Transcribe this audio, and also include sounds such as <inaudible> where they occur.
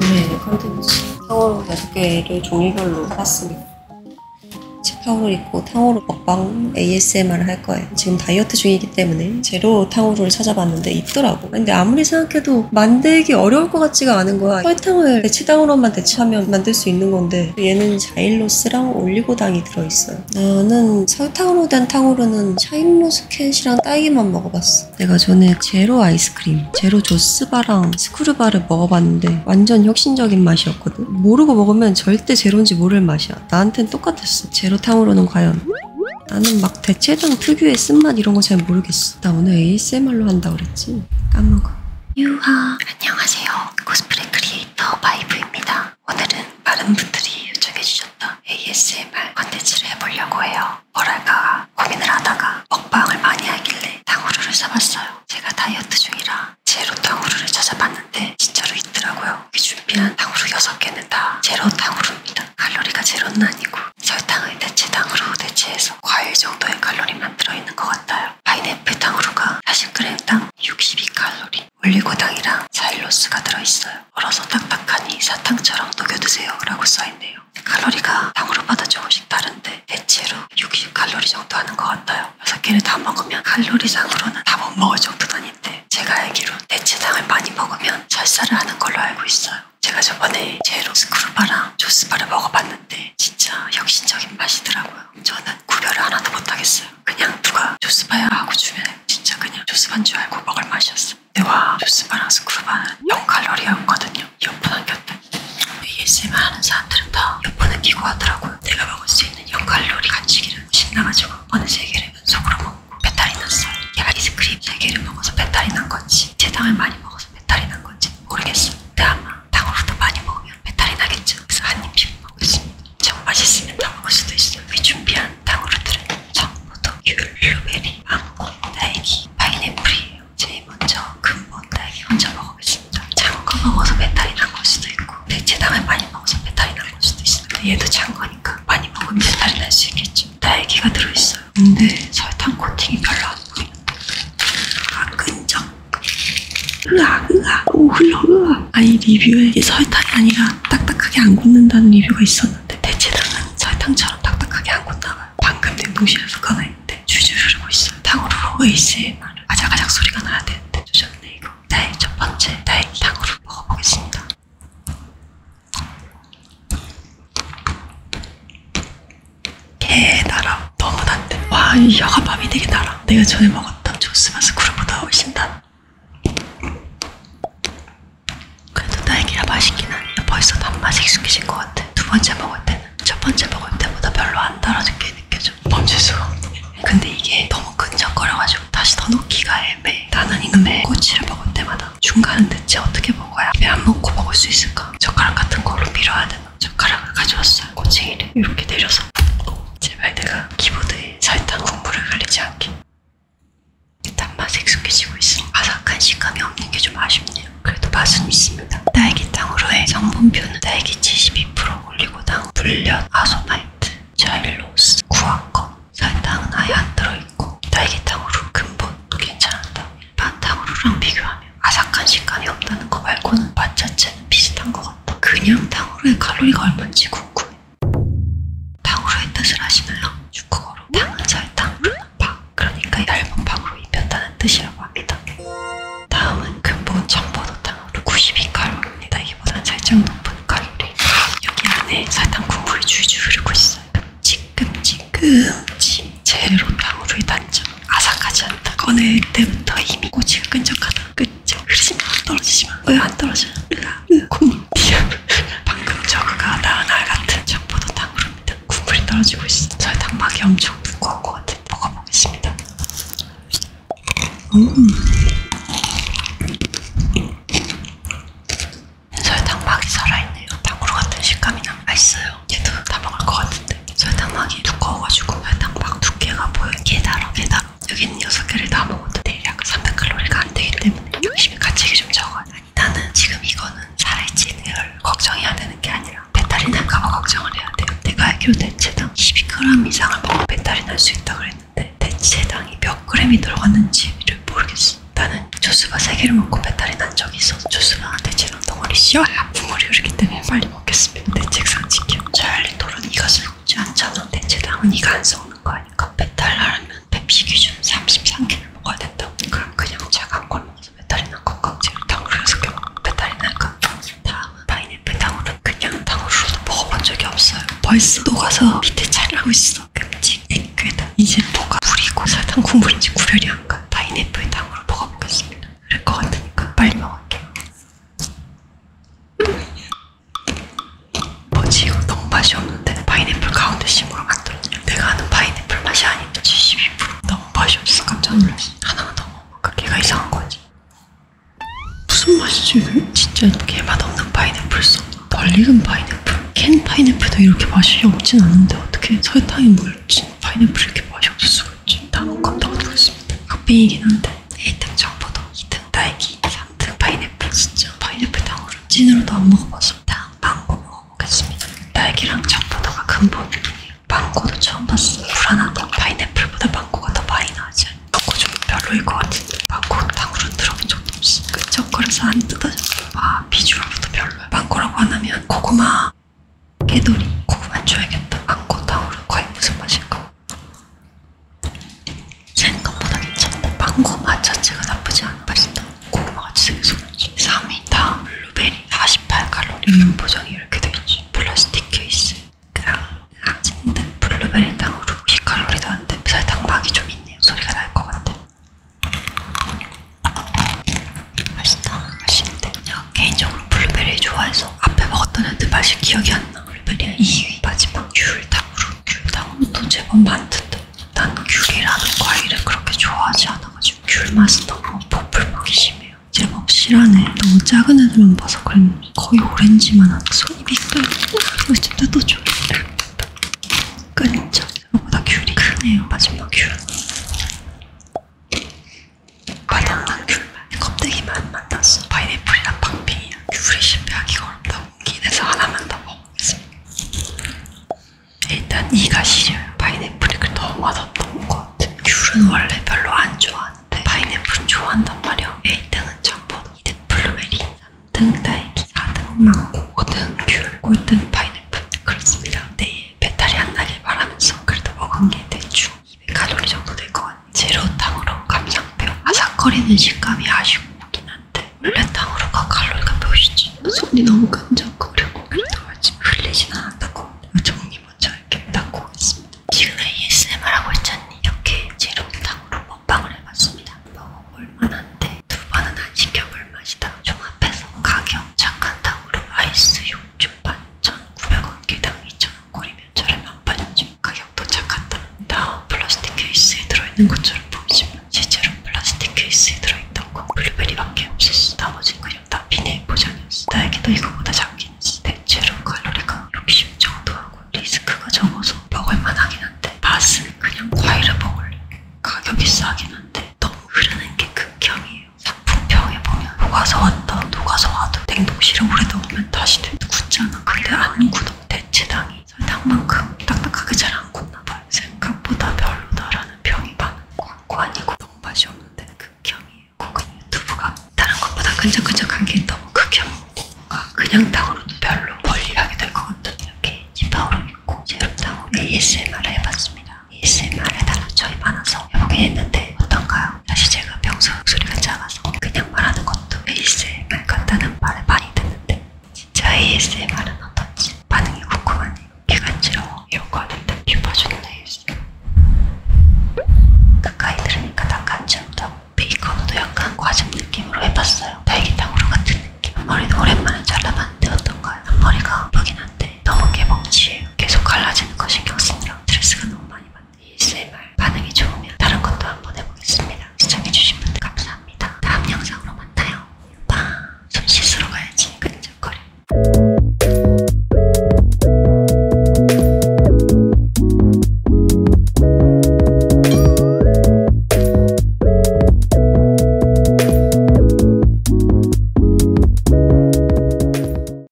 네, 컨텐츠. 탕후루 6개를 종류별로 샀습니다. 치파울 있고 탕후루 먹방 ASMR을 할 거예요. 지금 다이어트 중이기 때문에 제로 탕후루를 찾아봤는데 있더라고. 근데 아무리 생각해도 만들기 어려울 것 같지가 않은 거야. 설탕을 대치당으로만 대치하면 만들 수 있는 건데 있는데 얘는 자일로스랑 올리고당이 들어있어요. 나는 설탕으로 된 탕후루는 샤인로스캣이랑 딸기만 먹어봤어. 내가 전에 제로 아이스크림, 제로 조스바랑 스크류바를 먹어봤는데 완전 혁신적인 맛이었거든. 모르고 먹으면 절대 제로인지 모를 맛이야. 나한텐 똑같았어. 제로 탕후루는 과연 나는 막 대체당 특유의 쓴맛 이런 거 잘 모르겠어. 나 오늘 ASMR로 한다 그랬지? 까먹어. 유하 안녕하세요. 코스프레 크리에이터 크리에이터 바이브입니다. 오늘은 많은 분들이 요청해주셨던 ASMR 컨텐츠를 해보려고 해요. 뭐랄까 고민을 하다가 먹방을 많이 하길래 탕후루를 사봤어요. 제가 다이어트 중이라 제로 탕후루를 찾아봤는데 진짜로 있더라고요. 여기 그 준비한 탕후루 6개는 다 제로 탕후루입니다. 칼로리가 제로는 아니고 설탕을 대체당으로 대체해서 과일 정도의 칼로리만 들어있는 것 같아요. 파인애플 당으로가 40g 당 62칼로리 올리고당이랑 사일로스가 들어있어요. 얼어서 딱딱하니 사탕처럼 녹여드세요 라고 써있네요. 칼로리가 당으로보다 조금씩 다른데 대체로 60칼로리 정도 하는 것 같아요. 6개를 다 먹으면 칼로리상으로는 다 못 먹을 정도는 아닌데 제가 알기로 대체당을 많이 먹으면 설사를 하는 걸로 알고 있어요. 제가 저번에 제로 스크루바랑 조스바를 먹어봤는데 진짜 혁신적인 맛이더라고요. 거예요. 저는 구별을 하나도 못하겠어요. 그냥 누가 조스바야 하고 주면 진짜 그냥 조스반 줄 알고 먹을 맛이었어. 근데 와 조스바랑 스쿠르바는 0칼로리였거든요. 이어폰 안 꼈다. ASMR 하는 사람들은 다 이어폰을 끼고 하더라고요. 내가 먹을 수 있는 0칼로리 간식이를 신나가지고 어느 세 개를 속으로 먹고 배탈이 났어요. 얘가 이스크림 세 개를 먹어서 배탈이 난 건지 제당을 많이 먹어서 배탈이 난 건지 모르겠어. 근데 아마 당으로도 많이 먹으면 배탈이 나겠죠. 그래서 한입 비벼 먹고 있습니다. 정 맛있으면 다 먹을 수도 있어요. 이 준비한 당으로들은 청포도, 귤, 블루베리, 망고, 딸기, 파인애플이에요. 제일 먼저 근본 딸기 먼저 먹어보겠습니다. 장거 먹어서 배탈이 난걸 수도 있고 대체 당을 많이 먹어서 배탈이 난걸 수도 있어요. 근데 얘도 장거니까 많이 먹으면 배탈이 날수 있겠죠. 딸기가 들어있어요. 근데 설탕 코팅이 별로 안 보이는데 아 끈적 으악 으악 오 흘러 으악 아니 리뷰에 설탕이 아니라 딱딱하게 안 굳는다는 리뷰가 있었는데 대체당은 설탕처럼 딱딱하게 안 굳나봐요 방금 냉동실에서 꺼내는데 줄줄 흐르고 있어요 탕후루 ASMR 아작아작 소리가 나야 되는데 조졌네 이거 나의 첫 번째 나의 탕후루 먹어보겠습니다 개 달아 너무 단데 와이 여과밥이 되게 달아 내가 전에 먹었던 땀 좋으면서 구름보다 훨씬 다 그래도 딸기라 맛있긴 하네요. 벌써 단맛이 익숙해진 것 같아. 두 번째 먹을 때는 첫 번째 먹을 때보다 별로 안 달아진 게 느껴져. 범죄수가 없네. 근데 이게 너무 끈적거려가지고 다시 더 넣기가 애매해. 나는 이놈의 네. 꼬치를 먹을 때마다 중간은 대체 어떻게 먹어야 입에 안 먹고 먹을 수 있을까? 젓가락 같은 걸로 밀어야 되나? 젓가락을 가져왔어요. 꼬치기를 이렇게 내려서. 제발 내가 키보드에 설탕 국물을 흘리지 않게 단맛에 익숙해지고 있으니 바삭한 식감이 없는 게 좀 아쉽네요 그래도 맛은 있습니다 딸기탕으로의 성분표는 딸기 72% 올리고당, 불련, 아소나이트, 자일로스, 구아껌 설탕은 아예 안 들어있고 딸기탕으로 근본도 괜찮다 일반 탕후루랑 비교하면 아삭한 식감이 없다는 거 말고는 맛 자체는 비슷한 거 먹었다. 그냥 탕후루의 칼로리가 얼마인지 궁금해. 탕후루의 뜻을 아시나요? 중국어로 탕은 설탕, 루는 파. 그러니까 얇은 파으로 입혔다는 뜻이라고 합니다. 다음은 근본 전보도 탕후루 92칼로리입니다. 이보다 살짝 높은 칼로리. 여기 안에 설탕 국물이 줄줄 흐르고 있어요. 끔찍끔찍끔찍. 제로 탕후루의 단점. 아삭하지 않다. 꺼낼 때부터 이미 꼬치가 끈적하다. 끝 지금 글씨가 안 떨어지지만 왜안 떨어져? 콩님 <laughs> 방금 저그가 낳은 알 같은 적보다 탕후루 밑에 국물이 떨어지고 있어 저의 당막이 엄청 두꺼울 것 같아 먹어보겠습니다 음. 저의 당막이 살아있네요 탕후루 같은 식감이 나 맛있어요 얘도 다 먹을 것 같은데 설탕막이 두꺼워가지고 설탕막 두께가 보여 개다라 개다라 여기는 6개를 다 먹어도 대략 300칼로리가 안되기 때문에 욕심이 갇히기 좀 적어요 아니 나는 지금 이거는 살아있지는 걸 걱정해야 되는 게 아니라 배탈이 날까봐 걱정을 해야 돼요 내가 알기로 대체당 12g 이상을 먹으면 배탈이 날 수 있다고 그랬는데 대체당이 몇 그램이 들어갔는지를 모르겠어 나는 조수가 3개를 먹고 배탈이 난 적이 있어서 조수가 대체당 덩어리 씌워야 아, 분물이 흐르기 때문에 빨리 잘 먹겠습니다. 대책상 지켜. 찰리 토론 이가 썩지 않잖아. 대체 당은이가 안 썩는 거 아닐까? 배탈 나려면 배피 기준 33개를 먹어야 된다. 그럼 그냥 제가 한걸 먹어서 배탈이 난 건가? 제가 당으로 6개 먹으면 배탈이 날까? 다음은 파인애플 당으로 그냥 당으로도 먹어본 적이 없어요. 벌써 녹아서 밑에 잘나고 있어. 끔찍, 액괴다. 이제 뭐가 물이고 사탕 국물인지 구별이 안 가. 파인애플 당으로 먹어보겠습니다. 그럴 것 같으니까 빨리 먹을게요. 어, 지금 너무 맛이 없는데 파인애플 가운데 심으로 만들었냐 내가 아는 파인애플 맛이 아닌데 72% 너무 맛이 없어 깜짝 놀랐어 하나만 더 먹어볼까? 그 걔가 이상한 거지 무슨 맛이지 이게? 진짜 걔 맛없는 파인애플 써 벌리는 파인애플 캔 파인애플도 이렇게 맛이 없진 않은데 어떻게 설탕에 물진 파인애플 이렇게 맛이 없을 수가 좀 남은 건 넣어두겠습니다. 커피이긴 한데 1등 정보도 2등 딸기, 3등 그 파인애플. 진짜 파인애플 당으로 찐으로도 안 먹어봤어. 다음 망고 먹어보겠습니다. 딸기랑 정보도가 근본이에요. 망고도 처음 봤어. 불안하다. 파인애플보다 망고가 더 많이 나지. 망고 좀 별로일 것 같은데. 망고 당으로 들어본 적도 없어. 그 초콜릿을 안 뜯어졌어. 와 아, 비주얼부터 별로야. 망고라고 안 하면 고구마. 깨돌이 고구마 줘야겠다. 망고 타오르 과일 무슨 맛인가? 생각보다 괜찮다. 망고 맛 자체가 나쁘지 않아. 맛있다. 고구마가 진짜 속지 3위 다음 블루베리 48칼로리 음. 포장이 이렇게 돼있지. 플라스틱 케이스. 그냥 학생들 블루베리 당으로 50칼로리도 안 돼. 설탕 막이 좀 있네요. 소리가 날 것 같아. 맛있다. 맛있는데. 제가 개인적으로 블루베리 좋아해서 앞에 먹었던 애들 맛이 기억이 안 나. 올베리아 2위. 마지막 귤당으로. 귤당은 또 제법 많던데. 난 귤이라는 과일을 그렇게 좋아하지 않아가지고 귤 맛은 너무 보풀맛이 심해요. 제법 실하네. 너무 작은 애들만 봐서 그런 거의 오렌지만 한 손이 또 어쨌든 또 줘. 끈적. 생각보다 귤이 크네요. 마지막 귤. 바닥만 귤만 껍데기만 만났어 파인애플이랑 방핑이야 귤이 실패하기가 어렵다고 기내서 하나만 더 먹어보겠습니다 일단 이가 시려요 파인애플이 너무 맛없던 것 같아 귤은 원래 별로 안 좋아하는데 파인애플은 좋아한단 말이야 1등은 청포도 2등 블루베리 3등 딸기 4등 망고 5등 귤 5등 파인애플 그렇습니다 내일 배탈이 안 나길 바라면서 그래도 먹은 게 대충 100칼로리 정도 될 것 같아요. 제로탕으로 감상표. 아삭거리는 식감이 아쉽긴 한데 원래탕으로가 칼로리가 몇이지? 손이 너무 끈적거리고 그래도 아침 흘리진 않았다고 정리 아, 먼저 이렇게 닦고 있습니다. 지금 ASMR 하고 있잖니? 이렇게 제로탕으로 먹방을 해봤습니다. 먹어볼만한데 두 번은 안 시켜볼 맛이다. 종합해서 가격 착한 탕으로 아이스 6주 반 1,900원 개당 2,000원 꼬리면 저렴 안 팔죠. 가격도 착하다. 다 플라스틱 케이스에 들어있는 것처럼 보이지만 실제로 플라스틱 케이스에 들어있던 건 블루베리밖에 없었어. 나머진 그냥 다 비닐 포장이었어. 나에게도 이거보다 작긴 했어. 대체로 칼로리가 60 정도하고 리스크가 적어서 먹을만 하긴 한데 맛은 그냥 과일을 먹을래. 가격이 싸긴 한데 너무 흐르는 게 극혐이에요. 작품평에 보면 녹아서 왔다 녹아서 와도 냉동실에 오래 넣으면 다시 굳잖아 근데 안 굳어 대체당이 설탕만큼 딱딱하게 잘안 굳나 봐요 생각보다 별로다라는 평이 많은 광고 아니고 너무 맛이 없는데 극혐이에요 고급 유튜브가 다른 것보다 끈적끈적한 게 너무 극혐이고 뭔가 그냥 당으로도 별로 멀리하게 될 것 같아요 이렇게 지파오름 있고 제로당으로 ASMR 해봤습니다 ASMR 해달라 저희 많아서 해보긴 했는데 어떤가요? 사실 제가 평소 목소리가 작아서 그냥 말하는 것도 ASMR 같다는 말을 많이 듣는데 진짜 ASMR은 어떤지 반응이 궁금하네요. 귀 간지러워 이러고 하는데 귀 봐주는 ASMR 가까이 들으니까 다 간지럽다고 베이컨도 약간 과즙 느낌으로 해봤어요. 딸기탕으로 같은 느낌. 앞머리도 오랜만에 잘라봤는데 어떤가요? 앞머리가 예쁘긴 한데 너무 개봉치예요. 계속 갈라지는 거 신경 쓰느라 스트레스가 너무 많이 받네요. 이 ASMR 반응이 좋으면 다른 것도 한번 해보겠습니다. 시청해주신 분들 감사합니다. 다음 영상으로 만나요. 빠, 손 씻으러 가야지. 근적거려.